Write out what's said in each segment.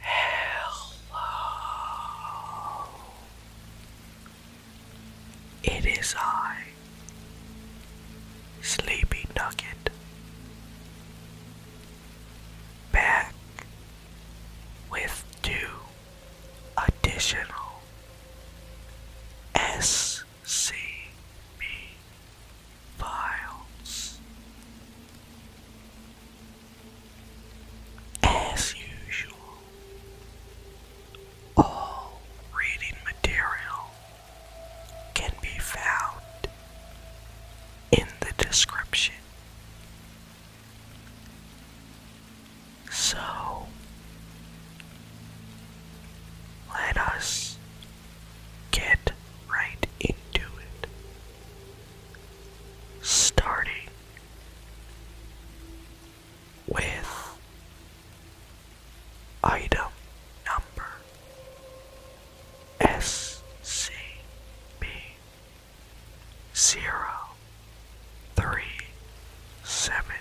Hello. It is I, Sleepy Nugget, back with two additional SCP files. As usual, all reading material can be found in the description. So, let us Get right into it. Starting with item number SCP zero three seven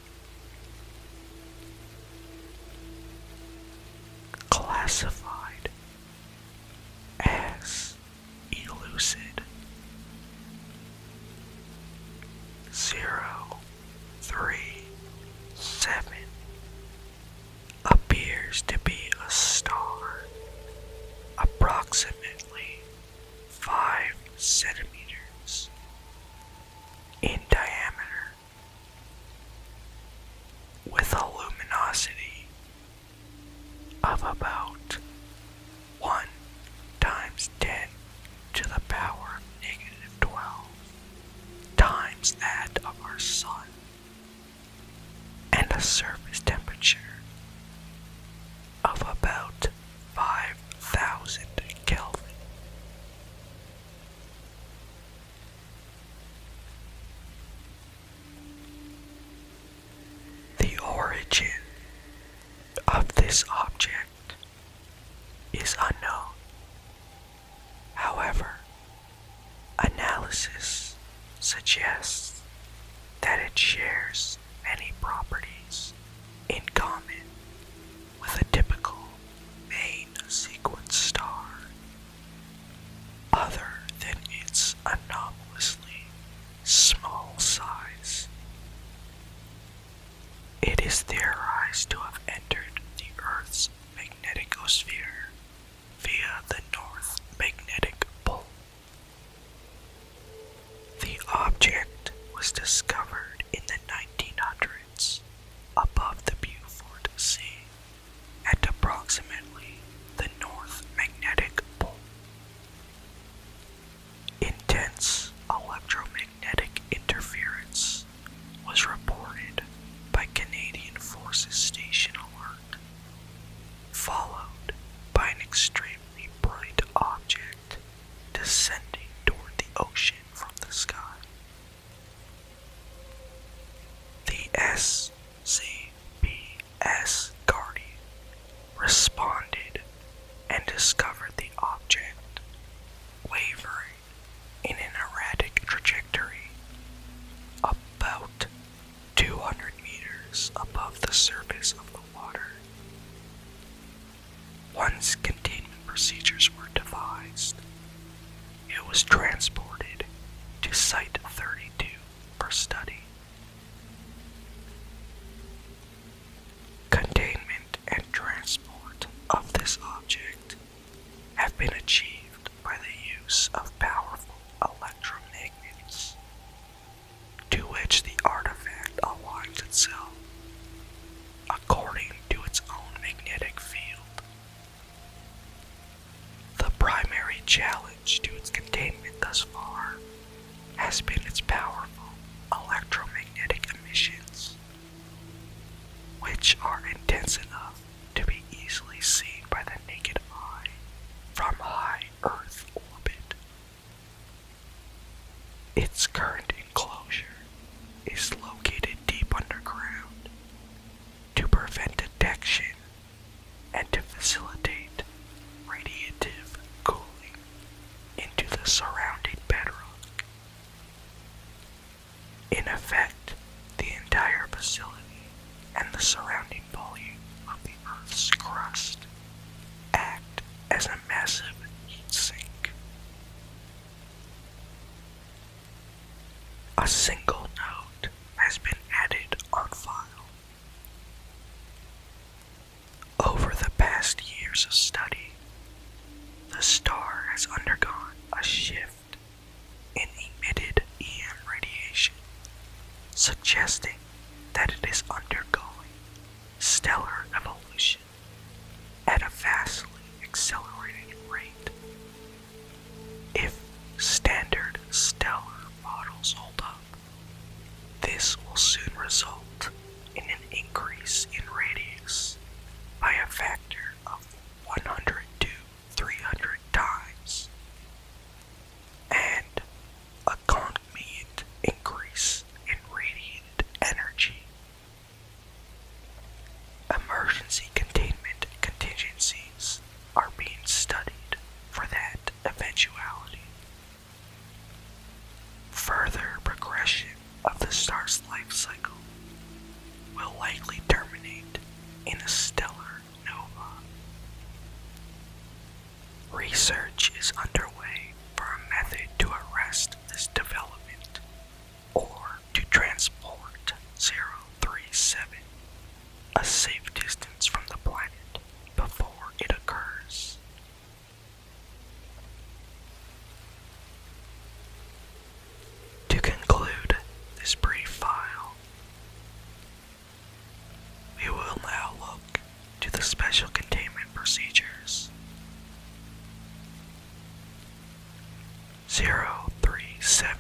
classified as elucid. Zero three seven appears to be a star approximately five centimeters in diameter with a luminosity of about 1 times 10 to the power of negative 12 times that of our sun and a surface temperature of about 5000 Kelvin. The origin of this object is unknown. However, analysis suggests that it shares many properties in common with a typical main main sequence star other than its anomalously small size. It is theorized to have entered the Earth's magnetosphere via the North Magnetic Pole. The object was discovered in the 1900s above the Beaufort Sea at approximately the North Magnetic Pole. Intense electromagnetic interference was reported by Canadian Forces Station Alert, followed by an extremely bright object descending toward the ocean from the sky. The SCBS Guardian responded and discovered the object wavering in an erratic trajectory about 200 meters above the surface of the water. Once containment procedures were devised, it was transported to Site 32 for study. Containment and transport of this object have been achieved by the use of powerful electromagnets, to which the artifact aligns itself according to its own magnetic field the primary challenge to its containment thus far has been its powerful electromagnetic emissions, which are intense enough to be easily seen by the naked eye from high Earth orbit. Its current enclosure is located deep underground to prevent detection and to facilitate radiative cooling into the surrounding bedrock. In effect, the entire facility and the surrounding volume of the Earth's crust act as a massive heat sink. A single note has been added on file. Over the past years of study, the star has undergone a shift in emitted EM radiation, suggesting that it is undergoing stellar evolution at a vastly accelerating rate if standard stellar models hold up, this will soon result in an increase in radius by a factor of 100 to 300 times and a concomitant increase in radiant energy. Emergency containment contingencies are being studied for that eventuality. Further progression of the star's life cycle will likely terminate in a stellar nova. Research is underway for a method to arrest this development or to transport 037 a safe distance from the planet before it occurs. To conclude this brief file, we will now look to the special containment procedures. 037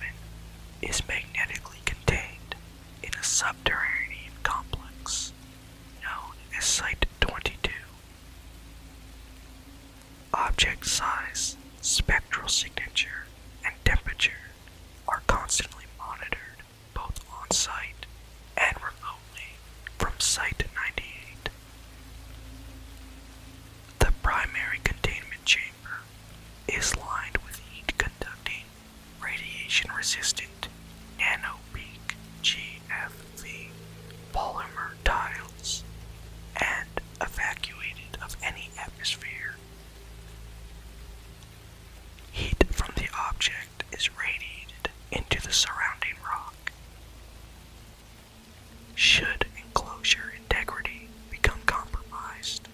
is magnetically contained in a subterranean complex known as Site 22. Object size, spectral signature, and temperature are constantly monitored both on site and remotely from Site 98. The primary containment chamber is lined with heat-conducting, radiation-resistant nano peak GFV polymer tiles and evacuated of any atmosphere. Heat from the object is radiated into the surrounding rock. Should enclosure integrity become compromised,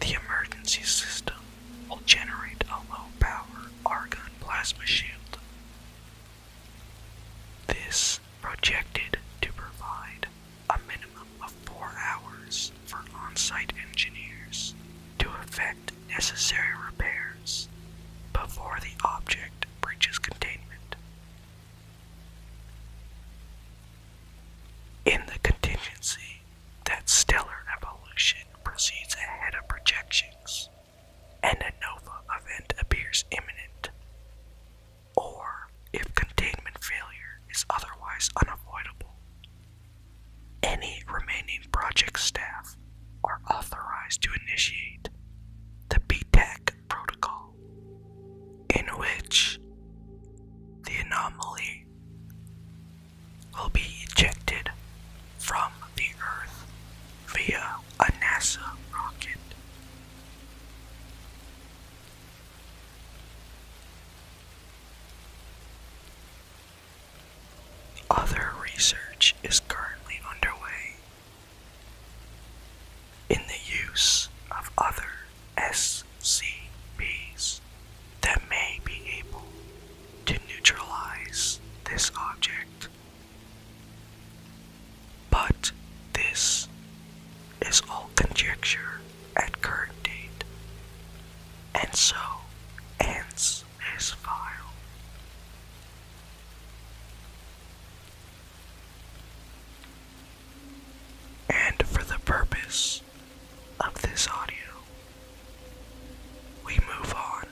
the emergency system will generate a low power argon plasma shield. This projected to provide a minimum of four hours for on-site engineers to effect necessary repairs before the object breaches containment. In the contingency that stellar evolution proceeds ahead of projections, and a nova event appears imminent. Or if containment failure is otherwise unavoidable. Any remaining project staff are authorized to initiate the BTEC protocol, in which the anomaly will be ejected from the Earth via a NASA rocket. Other research is currently underway in the use of other S.C.B.s that may be able to neutralize this object. But this is all conjecture at current date, and so ends this file. And for the purpose of this audio. We move on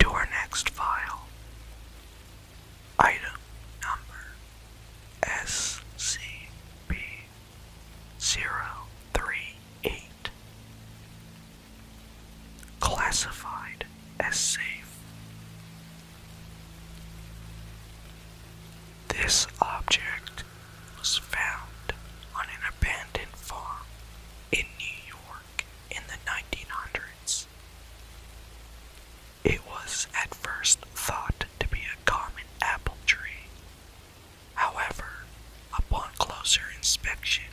to our next file. Item number SCP 038. Classified as safe. This object was found on an abandoned farm in New York in the 1900s. It was at first thought to be a common apple tree. However, upon closer inspection,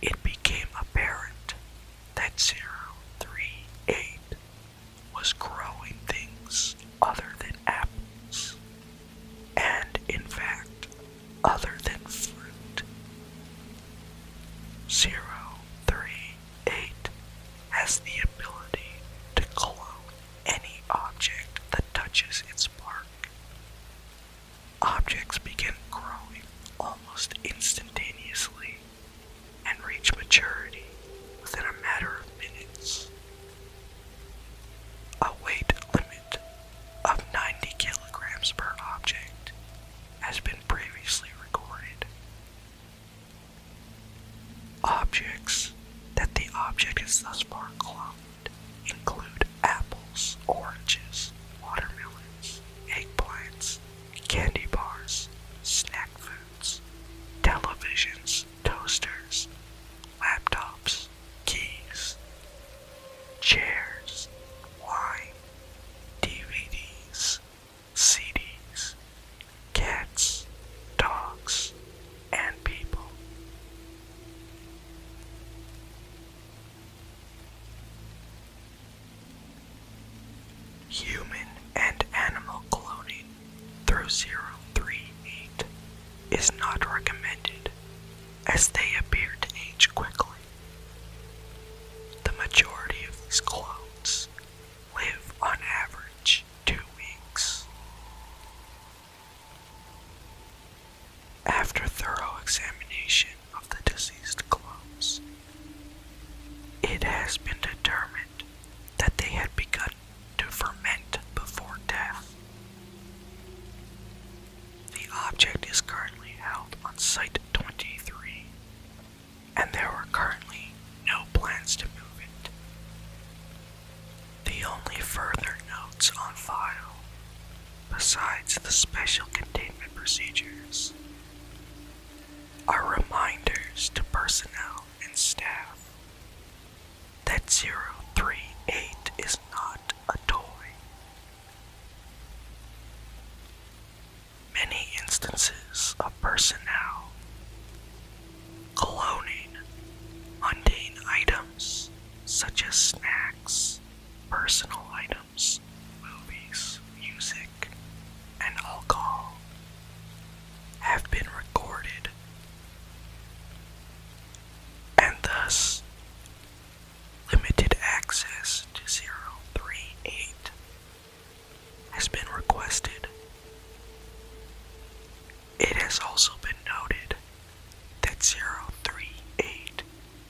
it became apparent that 038 was growing things other than apples, and in fact, other than fruit. 038 has the ability to clone any object that touches its bark. Objects begin growing almost instantaneously and reach maturity within a matter of minutes a weight limit of 90 kilograms per object has been previously recorded. Objects that the object is thus far cloned include apples, oranges, watermelons, eggplants, candy bars, snack foods, televisions, toasters, laptops, keys, chairs, wine, DVDs, CDs, cats, dogs, and people. Human and animal cloning through 038 is not recommended as they appear to age quickly. The majority of these clones live on average two weeks. After thorough examination of the deceased clones, it has been determined that they had begun to ferment before death. The object is currently held on Site 23, and there are currently no plans to move it. The only further notes on file, besides the special containment procedures, are reminders to personnel and staff that 038 is not a toy. Many instances of personnel cloning mundane items such as snacks, personal items, movies, music, and alcohol have been recorded and thus limited access to 038 has been requested. It has also been noted that 038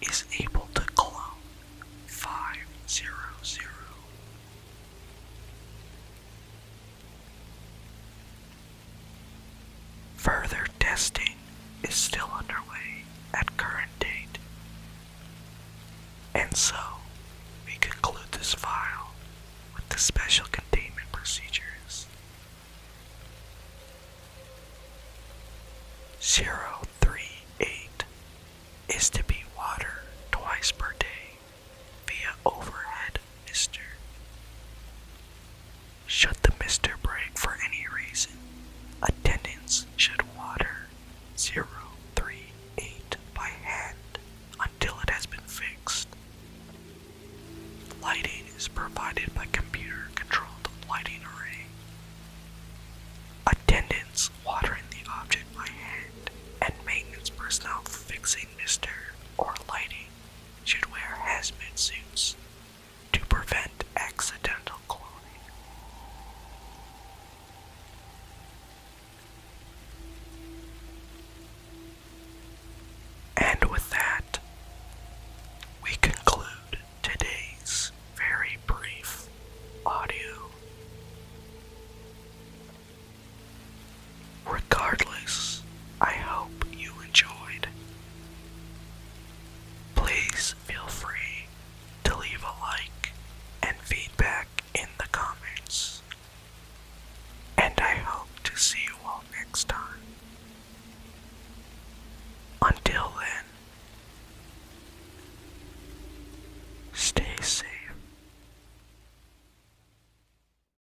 is able to clone 500. Further testing is still underway at current date. And so, we conclude this file with the special containment procedures. 038 is to be water twice per day via overhead mister. Shut the mister Break for any reason. Attendants should water 038 by hand until it has been fixed. Lighting is provided by computer controlled lighting array. Attendants watering the object by hand and maintenance personnel fixing mister or lighting should wear hazmat suits to prevent accidental cloning. And with that, we conclude today's very brief audio. Regardless, I hope you enjoyed. Please feel free to leave a like and feedback in the comments. And I hope to see you all next time. Until then, stay safe.